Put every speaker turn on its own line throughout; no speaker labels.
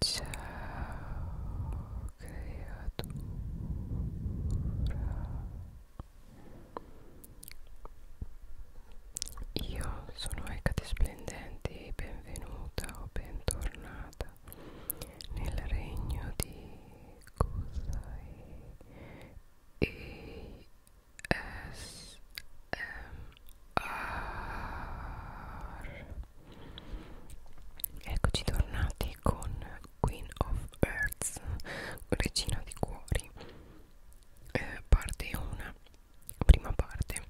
Ciao creatura Io sono Ecate Splendente e benvenuta o bentornata nel regno di Kusai e S M R Eccoci tornati con Queen of Earths, Regina di Cuori, eh, parte 1, prima parte,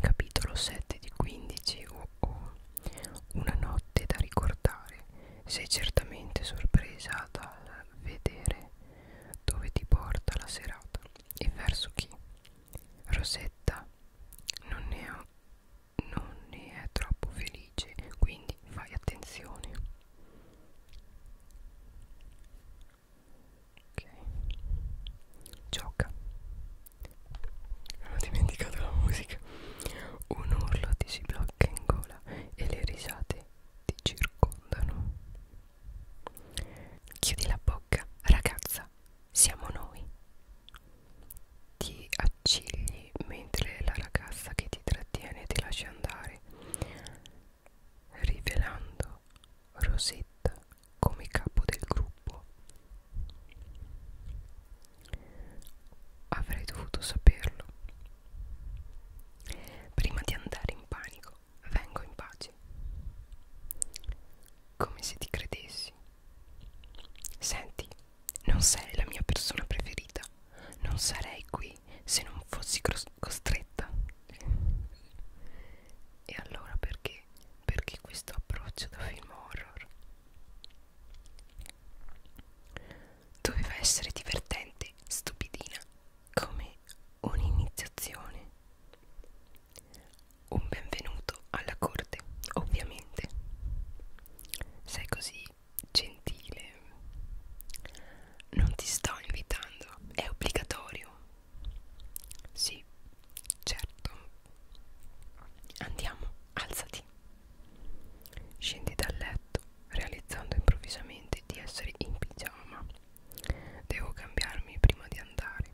capitolo 7 di 15 o oh oh, Una notte da ricordare, sei certamente sorpresa dal vedere dove ti porta la serata e verso chi. Rosetta non ne ha non ne è troppo felice quindi fai attenzione ok gioca ho dimenticato la musica un urlo ti si blocca in gola e le risate ti circondano chiudi la bocca ragazza siamo noi ti accigli mentre la ragazza che ti trattiene ti lascia andare, rivelando Rosetta come capo del gruppo. Avrei dovuto saperlo. Prima di andare in panico, vengo in pace. Come se ti credessi Senti, non sei la mia persona preferita. Non sarei qui se non fossi costretta. E allora perché? Perché questo approccio da film horror? Doveva essere divertente, stupidina, come un'iniziazione. Un benvenuto alla corte, ovviamente. Sei così gentile. Non ti sto invitando, è obbligatorio. Sì, certo. Andiamo, alzati. Scendi dal letto, realizzando improvvisamente di essere in pigiama. Devo cambiarmi prima di andare.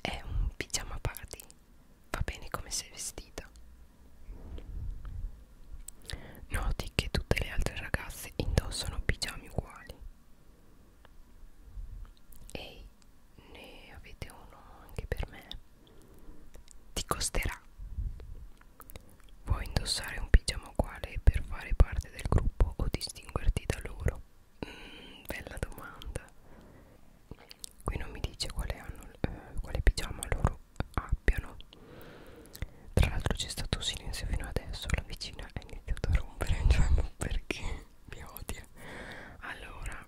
È un pigiama party Va bene come sei vestita. Noti che tutte le altre ragazze indossano pigiami uguali. Ehi, ne avete uno anche per me? Ti costerà. Vuoi indossare un pigiama uguale per fare parte del gruppo o distinguerti da loro? Mm, bella domanda qui non mi dice quale, hanno, eh, quale pigiama loro abbiano tra l'altro c'è stato silenzio fino adesso la vicina ha iniziato a rompere cioè perché mi odia allora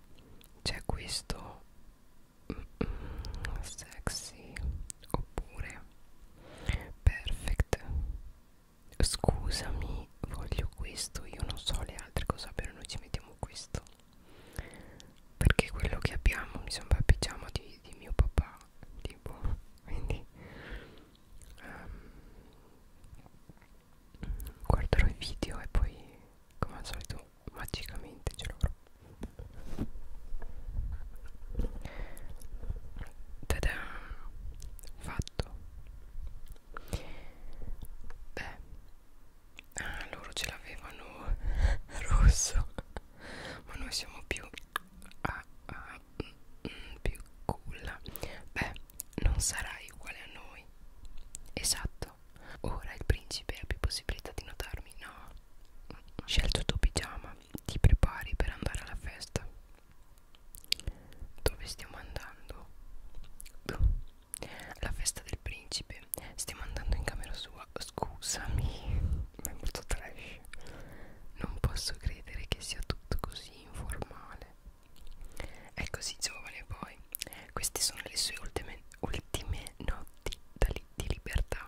c'è questo mm, mm, sexy oppure perfect scusami voglio questo io non so le altre cosa però noi ci mettiamo questo perché quello che abbiamo mi sembra il pigiama di, di mio papà tipo quindi um, guarderò i video e poi come al solito magicamente ce l'avrò Tada! Fatto! Beh, ah loro ce l'avevano rosso ma noi siamo più ah, ah, mm, mm, più culla beh non sarai uguale a noi esatto ora il principe ha più possibilità di notarmi no scelto il tuo pigiama ti prepari per andare alla festa dove stiamo andando? Boh. La festa del principe Stiamo andando in camera sua Scusami Ma è molto trash Non posso credere che sia tutto così informale È così giovane poi Queste sono le sue ultime, ultime notti di libertà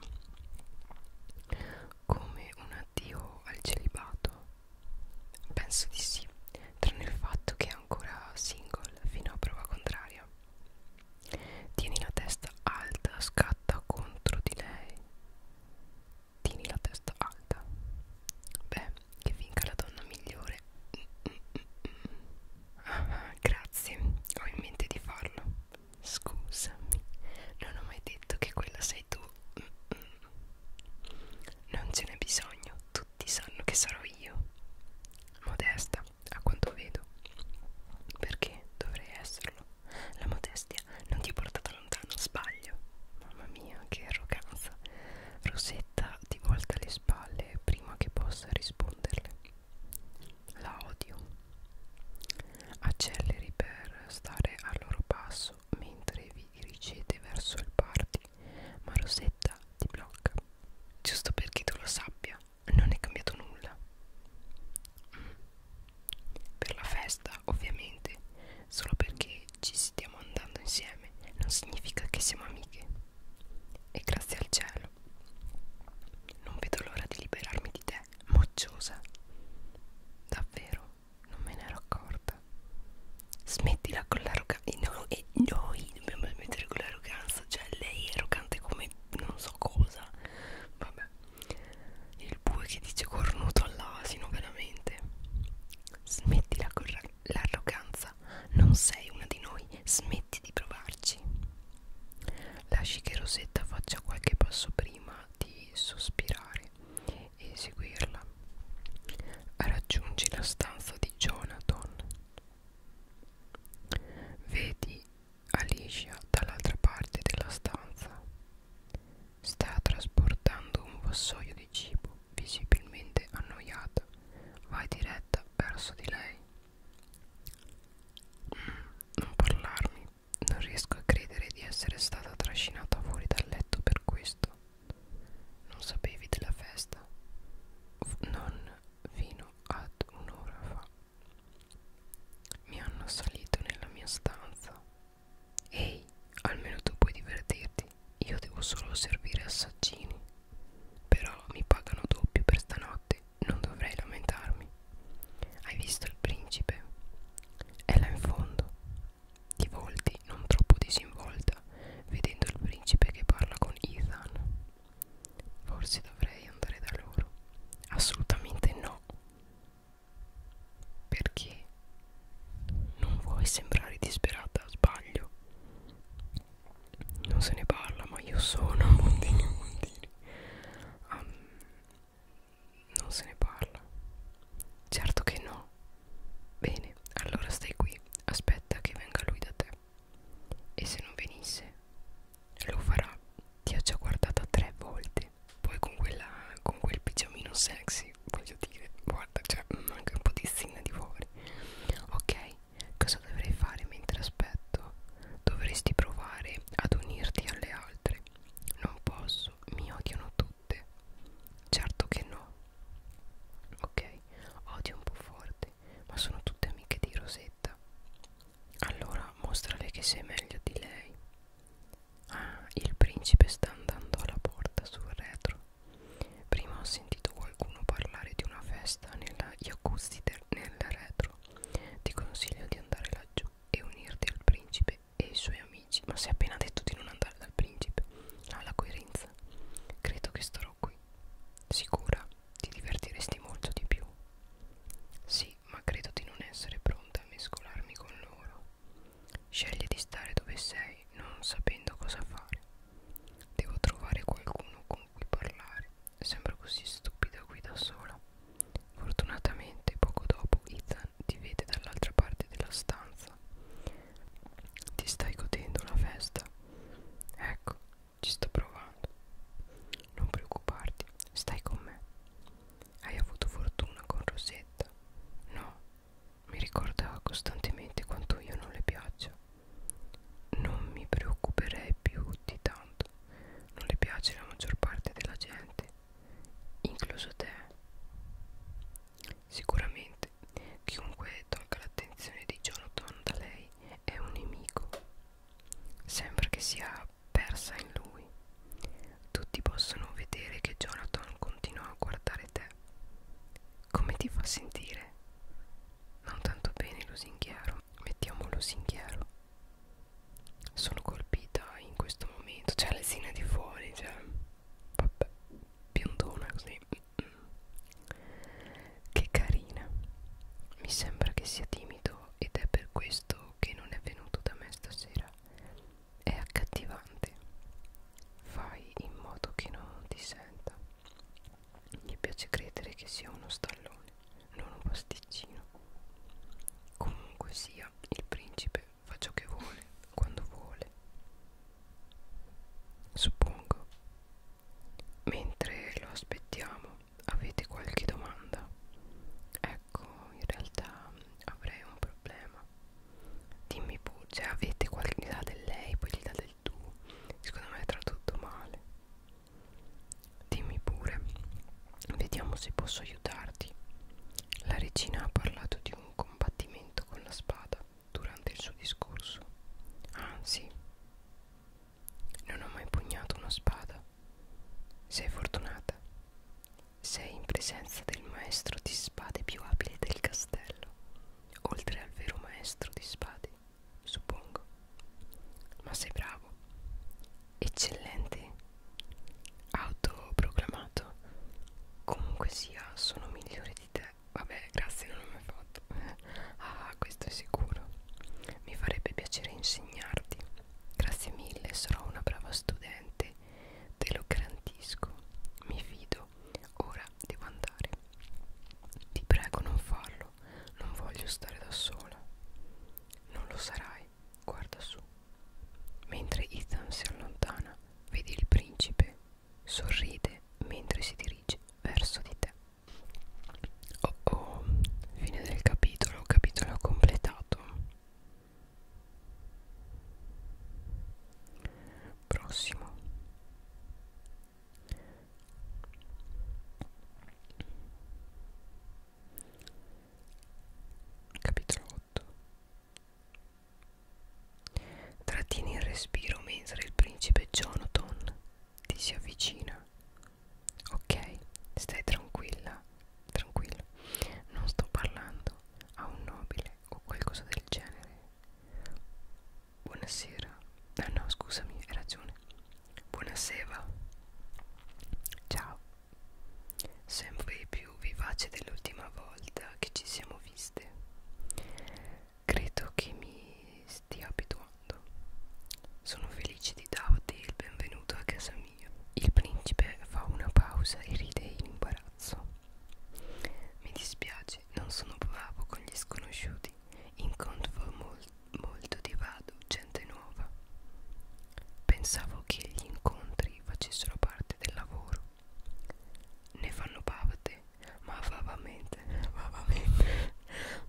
Come un addio al celibato Penso di sì Tranne il fatto che ancora single fino a prova contraria. Tieni la testa alta, scatta contro di lei. Tieni la testa alta. Beh, che vinca la donna migliore. Mm, mm, mm. Ah, grazie, ho in mente di farlo. Scusami, non ho mai detto che quella sei tu. Mm, mm. Non ce n'è bisogno, tutti sanno che sarò io. Modesta, a quanto vedo. Perché dovrei esserlo? La modestia non ti ha portato lontano, sbaglio. Mamma mia, che arroganza. Rosetta ti volta le spalle prima che possa risponderle. La odio. Acceleri per stare al loro passo mentre vi dirigete verso il party, ma Rosetta ti blocca giusto perché tu lo sappia, non è cambiato nulla. Mm. Per la festa, ovviamente, solo perché ci stiamo andando insieme non significa che siamo amiche. E grazie al cielo, non vedo l'ora di liberarmi di te, mocciosa. Davvero, non me ne ero accorta. Smettila con l'arroganza. E, no, e noi dobbiamo smettere con l'arroganza basta cioè lei è arrogante come non so cosa vabbè il bue che dice cornuto all'asino veramente smetti l'arroganza non sei una di noi smetti di provarci lasci che Rosetta faccia qualche passo prima di sospirare e seguirla raggiungi la stanza di Jonathan Vedi Alicia dall'altra parte della stanza. Sta trasportando un vassoio di cibo, visibilmente annoiata. Vai diretta verso di lei. Mm, non parlarmi. Non riesco a credere di essere stata trascinata fuori dal letto per questo. Non sapevi della festa? Non fino ad un'ora fa. Mi hanno assalito nella mia stanza. Ehi, almeno tu puoi divertirti. Io devo solo servire assaggini. Però mi pagano doppio per stanotte. Non dovrei lamentarmi. Hai visto il principe? È là in fondo. Di volti, non troppo disinvolta, vedendo il principe che parla con Ethan. Forse dovrei andare da loro. Assolutamente no. Perché non vuoi sembrare disperata, sbaglio. Non se ne parla, ma io sono Mondini Mondini. Um, non se ne parla. Certo che no. Bene, allora stai qui. Aspetta che venga lui da te. E se non venisse, lo farà. Ti ha già guardata tre volte. Poi con, quella, con quel pigiamino sexy, voglio dire, guarda, cioè, manca mm, un po' di stina di fuori. Ok, cosa dovrei fare mentre aspetto? Dovresti provare ad unirti alle altre. Non posso, mi odiano tutte. Certo che no. Ok, odio un po' forte ma sono tutte amiche di Rosetta. Allora mostrale che sei meglio di lei. Ah, il principe sta andando alla porta sul retro. Prima ho sentito qualcuno parlare di una festa nella jacuzzi nel retro. Ti consiglio di andare laggiù e unirti al principe e ai suoi amici. Ma si è appena detto di non andare dal principe. Ha ah, la coerenza. Credo che starò qui. Sicura, ti divertiresti molto di più. Sì, ma credo di non essere pronta a mescolarmi con loro. Scegli di stare dove sei, non sapendo cosa fare. Devo trovare qualcuno con cui parlare. Sembro così stupida qui da sola. Fortunatamente, poco dopo, Ethan ti vede dall'altra parte della stanza. Ti stai godendo la festa? Ecco, ci sto provando. Non preoccuparti, stai con me. Hai avuto fortuna con Rosetta? No, mi ricorda costantemente quanto io non le piaccia. Non mi preoccuperei più di tanto. Non le piace la maggior parte della gente, incluso te. Sicuramente chiunque tolga l'attenzione di Jonathan da lei è un nemico. Sembra che sia persa in lui. Tutti possono vedere che Jonathan continua a guardare te. Come ti fa sentire? Non tanto bene, lusinghiero. Mettiamo lusinghiero. Sono colpita in questo momento. C'è l'esina di fuori, cioè. Vabbè, biondona così. Che carina. Mi sembra che sia timido ed è per questo che non è venuto da me stasera. È accattivante. Fai in modo che non ti senta. Mi piace credere che sia uno stallone, non un pasticcino. Comunque sia, il principe fa ciò che vuole, quando vuole. Suppongo. Mentre lo aspettiamo, avete qualche domanda ecco in realtà avrei un problema dimmi pure cioè avete qualche idea del lei poi gli dà del tu secondo me è tradotto male dimmi pure vediamo se posso aiutarti la regina ha parlato di un combattimento con la spada durante il suo discorso ah sì non ho mai pugnato una spada. Sei fortunata. Sei in presenza del maestro di spade più abile del castello, oltre al vero maestro di spade, suppongo. Ma sei bravo, eccellente, autoproclamato. Comunque sia, sono migliore di te. Vabbè, grazie, non l'ho mai fatto. Ah, questo è sicuro. Mi farebbe piacere insegnarti. Grazie mille, sarò una brava studente. Te lo garantisco. Mi fido. Ora devo andare. Ti prego, non farlo. Non voglio stare da sola. Non lo sarai. Guarda su. Mentre Ethan si allontana, vedi il principe. Sorride mentre si dirige verso di te. Oh oh, fine del capitolo, capitolo completato. Prossimo. Capitolo 8. Trattieni il respiro mentre il principe Jonathan ti si avvicina Ok, stai tranquilla, tranquillo. Non sto parlando a un nobile o qualcosa del genere. Buonasera. Ah no, scusami, hai ragione. Buonasera. Ciao. Sempre più vivace dell'ultima volta che ci siamo viste. Credo che mi stia abituando fatto. Sono felice di darti il benvenuto a casa mia. Il principe fa una pausa e ride in imbarazzo. Mi dispiace, non sono bravo con gli sconosciuti. Incontro mol molto divado, gente nuova. Pensavo che gli incontri facessero parte del lavoro. Ne fanno parte, ma vavamente, vavamente,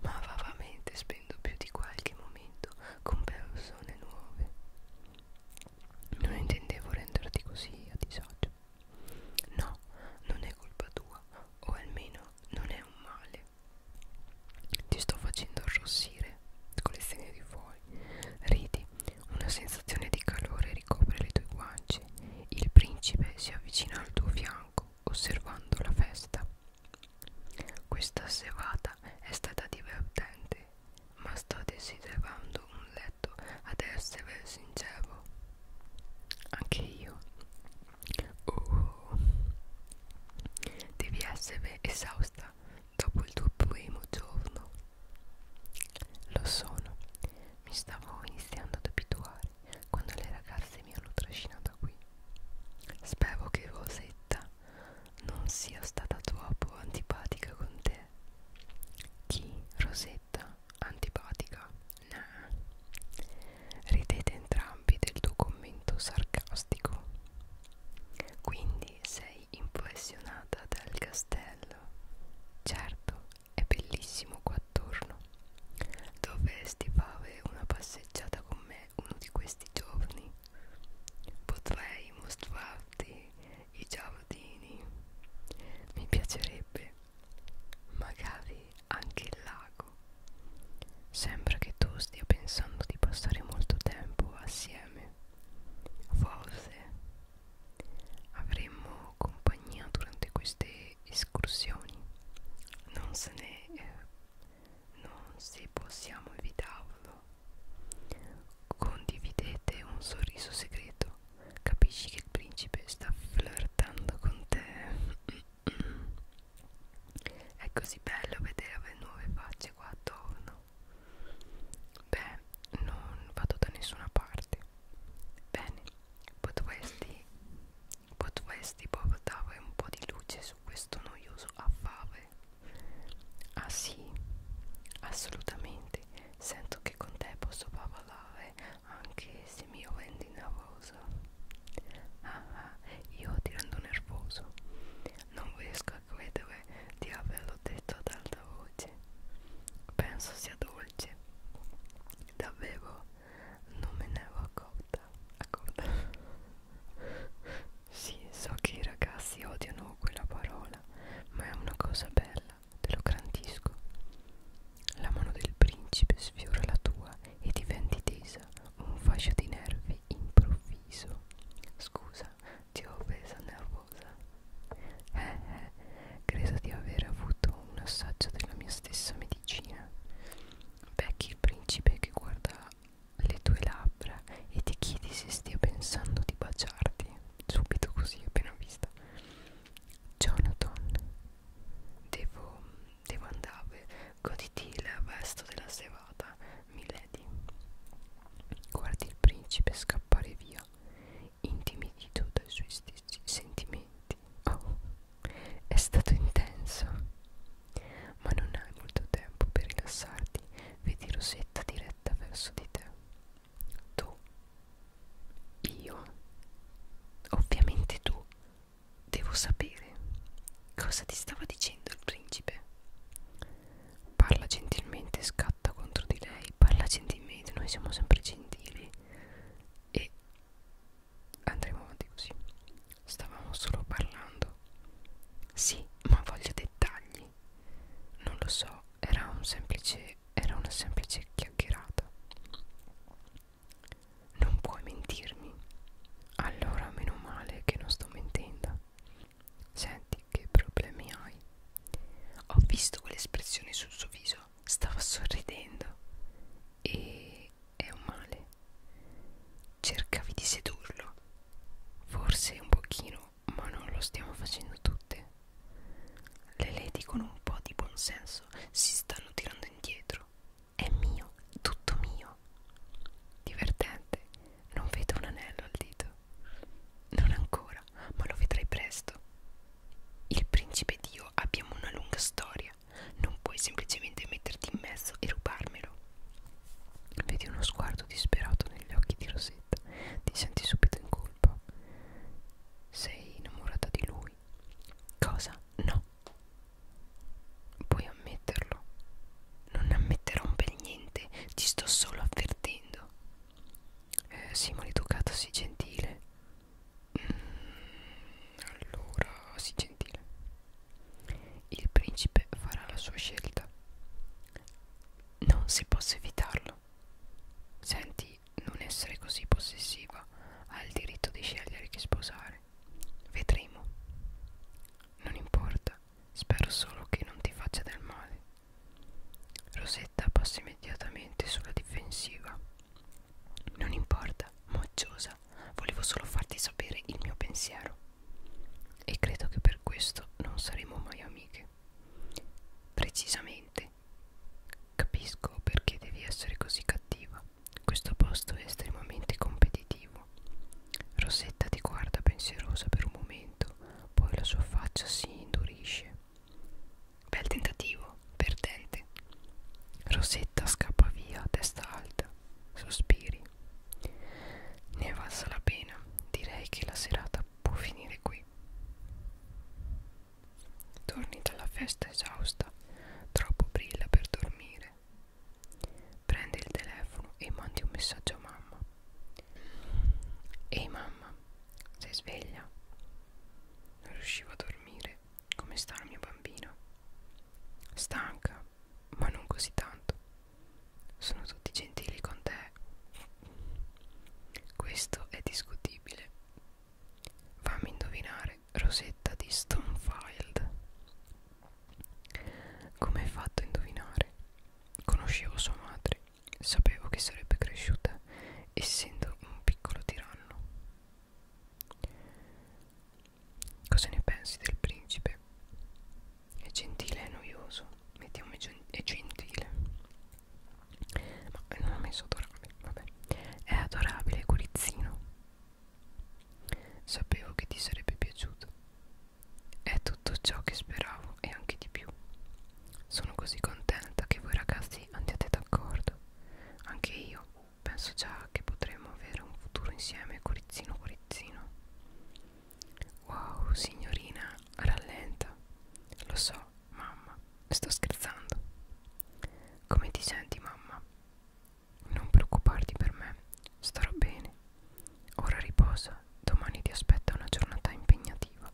ma vavamente spendo più di qualche momento appuntamento con persone nuove. Non intendevo renderti così a disagio. No, non è colpa tua, o almeno non è un male. Ti sto facendo arrossire con le stelle di fuori. Ridi, una sensazione di calore ricopre le tue guance. Il principe si avvicina al tuo fianco, osservando la festa. Questa serata è stata divertente, ma sto desiderando un letto, ad essere sincero. Anche io. Oh, devi essere esausta dopo il tuo primo giorno. Lo sono, mi stavo iniziando ad abituare quando le ragazze mi hanno trascinato qui. Spero che Rosetta non sia stata troppo antipatica con te. Chi? Rosetta? Antipatica? Nah. Ridete entrambi del tuo commento sarcastico. Quindi sei impressionata dal castello. Certo, è bellissimo qua attorno. Dovresti fare una passeggiata con me uno di questi giorni potrei mostrarti i giardini mi piacerebbe magari anche il lago sembra che tu stia pensando di passare molto tempo assieme forse avremmo compagnia durante queste escursioni non se ne eh, non se possiamo evitarlo. Condividete un sorriso segreto. Capisci che il principe sta flirtando con te. È così bello vedere le nuove facce qua attorno. Beh, non vado da nessuna parte. Bene, potresti, potresti portare un po' di luce su questo noioso affare. Ah sì, assolutamente. Sento che con te posso parlare anche se mi rendi nervoso. Ah, ah, io ti rendo nervoso. Non riesco a credere di averlo detto ad alta voce. Penso sia dolce. Davvero, non me ne ero accorta. accorta. Sì, so che i ragazzi odiano quella parola, ma è una cosa bella, te lo garantisco. La mano del principe sfiora la tua e diventi tesa, un fascio di nervi improvviso. Scusa, ti ho presa nervosa. Eh, eh, credo di aver avuto un assaggio della mia stessa medicina. Becky il principe che guarda le tue labbra e ti chiedi se stia pensando di baciarti subito così appena vista Jonathan devo, devo andare goditi il resto della serata Milady guardi il principe scappare via intimidito dai suoi stessi sentimenti oh, è stato intenso ma non hai molto tempo per rilassarti, vedi Rosetta diretta verso di te. Tu, io, ovviamente tu, devo sapere cosa ti stava dicendo il principe. Parla gentilmente, scatta contro di lei, parla gentilmente, noi siamo sempre gentili e andremo avanti così. Stavamo solo parlando. Sì, ma voglio dettagli. Non lo so, era, un semplice, era una semplice chiacchierata. Non puoi mentirmi. Allora, meno male che non sto mentendo. Senti, che problemi hai? Ho visto quell'espressione sul suo viso. Stava sorridendo. E è un male. Cercavi di sedurlo. Forse un pochino, ma non lo stiamo facendo tutte. Le lady con un po' di buonsenso si stanno tirando indietro. È mio, tutto mio. Divertente, non vedo un anello al dito. Non ancora, ma lo vedrai presto. Il principe Dio abbiamo una lunga storia. Non puoi semplicemente metterti in mezzo e rubarmelo. Vedi uno sguardo disperato negli occhi di Rosetta. Ti senti subito in colpa. Sei innamorata di lui. Cosa? No. Puoi ammetterlo. Non ammetterò per niente. Ti sto solo avvertendo. Eh, sii maleducata, sii gentile. Mm, allora, sii gentile. Il principe farà la sua scelta. Non si possa evitarlo. Senti, non essere così possessiva. Ha il diritto di scegliere chi sposare. Vedremo. Non importa, spero solo che non ti faccia del male. Rosetta passa immediatamente sulla difensiva. Non importa, mocciosa, volevo solo farti sapere il mio pensiero e credo che per questo non saremo mai amiche. Precisamente. Capisco perché devi essere così cattiva. Questo posto è estremamente competitivo. Rosetta ti guarda pensierosa per un momento, poi la sua faccia si indurisce. Bel tentativo, perdente. Rosetta scappa via a testa alta sospiri. Ne è valsa la pena, direi che la serata può finire qui. Torni dalla festa esausta, troppo brilla per dormire. Prendi il telefono e mandi un messaggio a mamma. Ehi mamma, sei sveglia? Non riuscivo a dormire. Come sta il mio bambino? Stanca, ma non così tanto. Sono tutti gentili con te. Questo è discutibile. Fammi indovinare, Rosetta di Stonefield. Come hai fatto a indovinare? Conoscevo sua madre, sapevo che sarebbe cresciuta, essendo un piccolo tiranno. Cosa ne pensi del principe? è gentile e noioso mettiamo è, gen è gentile ma non ho messo adorabile vabbè è adorabile curizzino sapevo che ti sarebbe piaciuto è tutto ciò che speravo e anche di più sono così contenta che voi ragazzi andiate d'accordo anche io penso già che potremo avere un futuro insieme corizzino corizzino Wow, signorina, rallenta. Lo so, mamma, sto scherzando. Come ti senti, mamma? Non preoccuparti per me, starò bene. Ora riposa, domani ti aspetta una giornata impegnativa.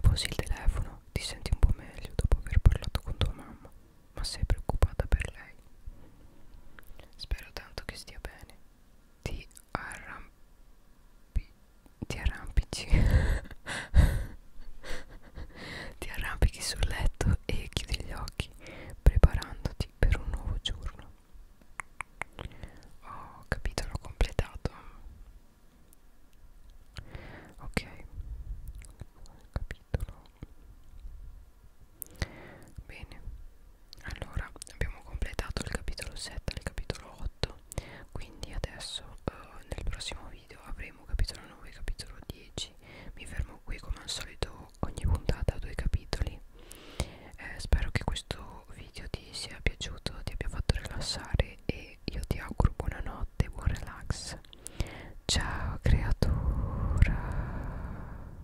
Posi il telefono, ti senti un po' meglio dopo aver parlato con tua mamma, ma sei preoccupata per lei. Spero tanto che stia bene. Ti arrampi. Ti arrampici. ti arrampichi sul letto e chiudi gli occhi, preparandoti per un nuovo giorno. Oh, capitolo completato. Ok, capitolo Bene, allora abbiamo completato il capitolo 7 e il capitolo 8, quindi adesso eh, nel prossimo video avremo capitolo 9 e capitolo 10. Mi fermo qui come al solito ogni puntata due capitoli. Eh, spero che questo video ti sia piaciuto, ti abbia fatto rilassare e io ti auguro buonanotte, buon relax. Ciao creatura!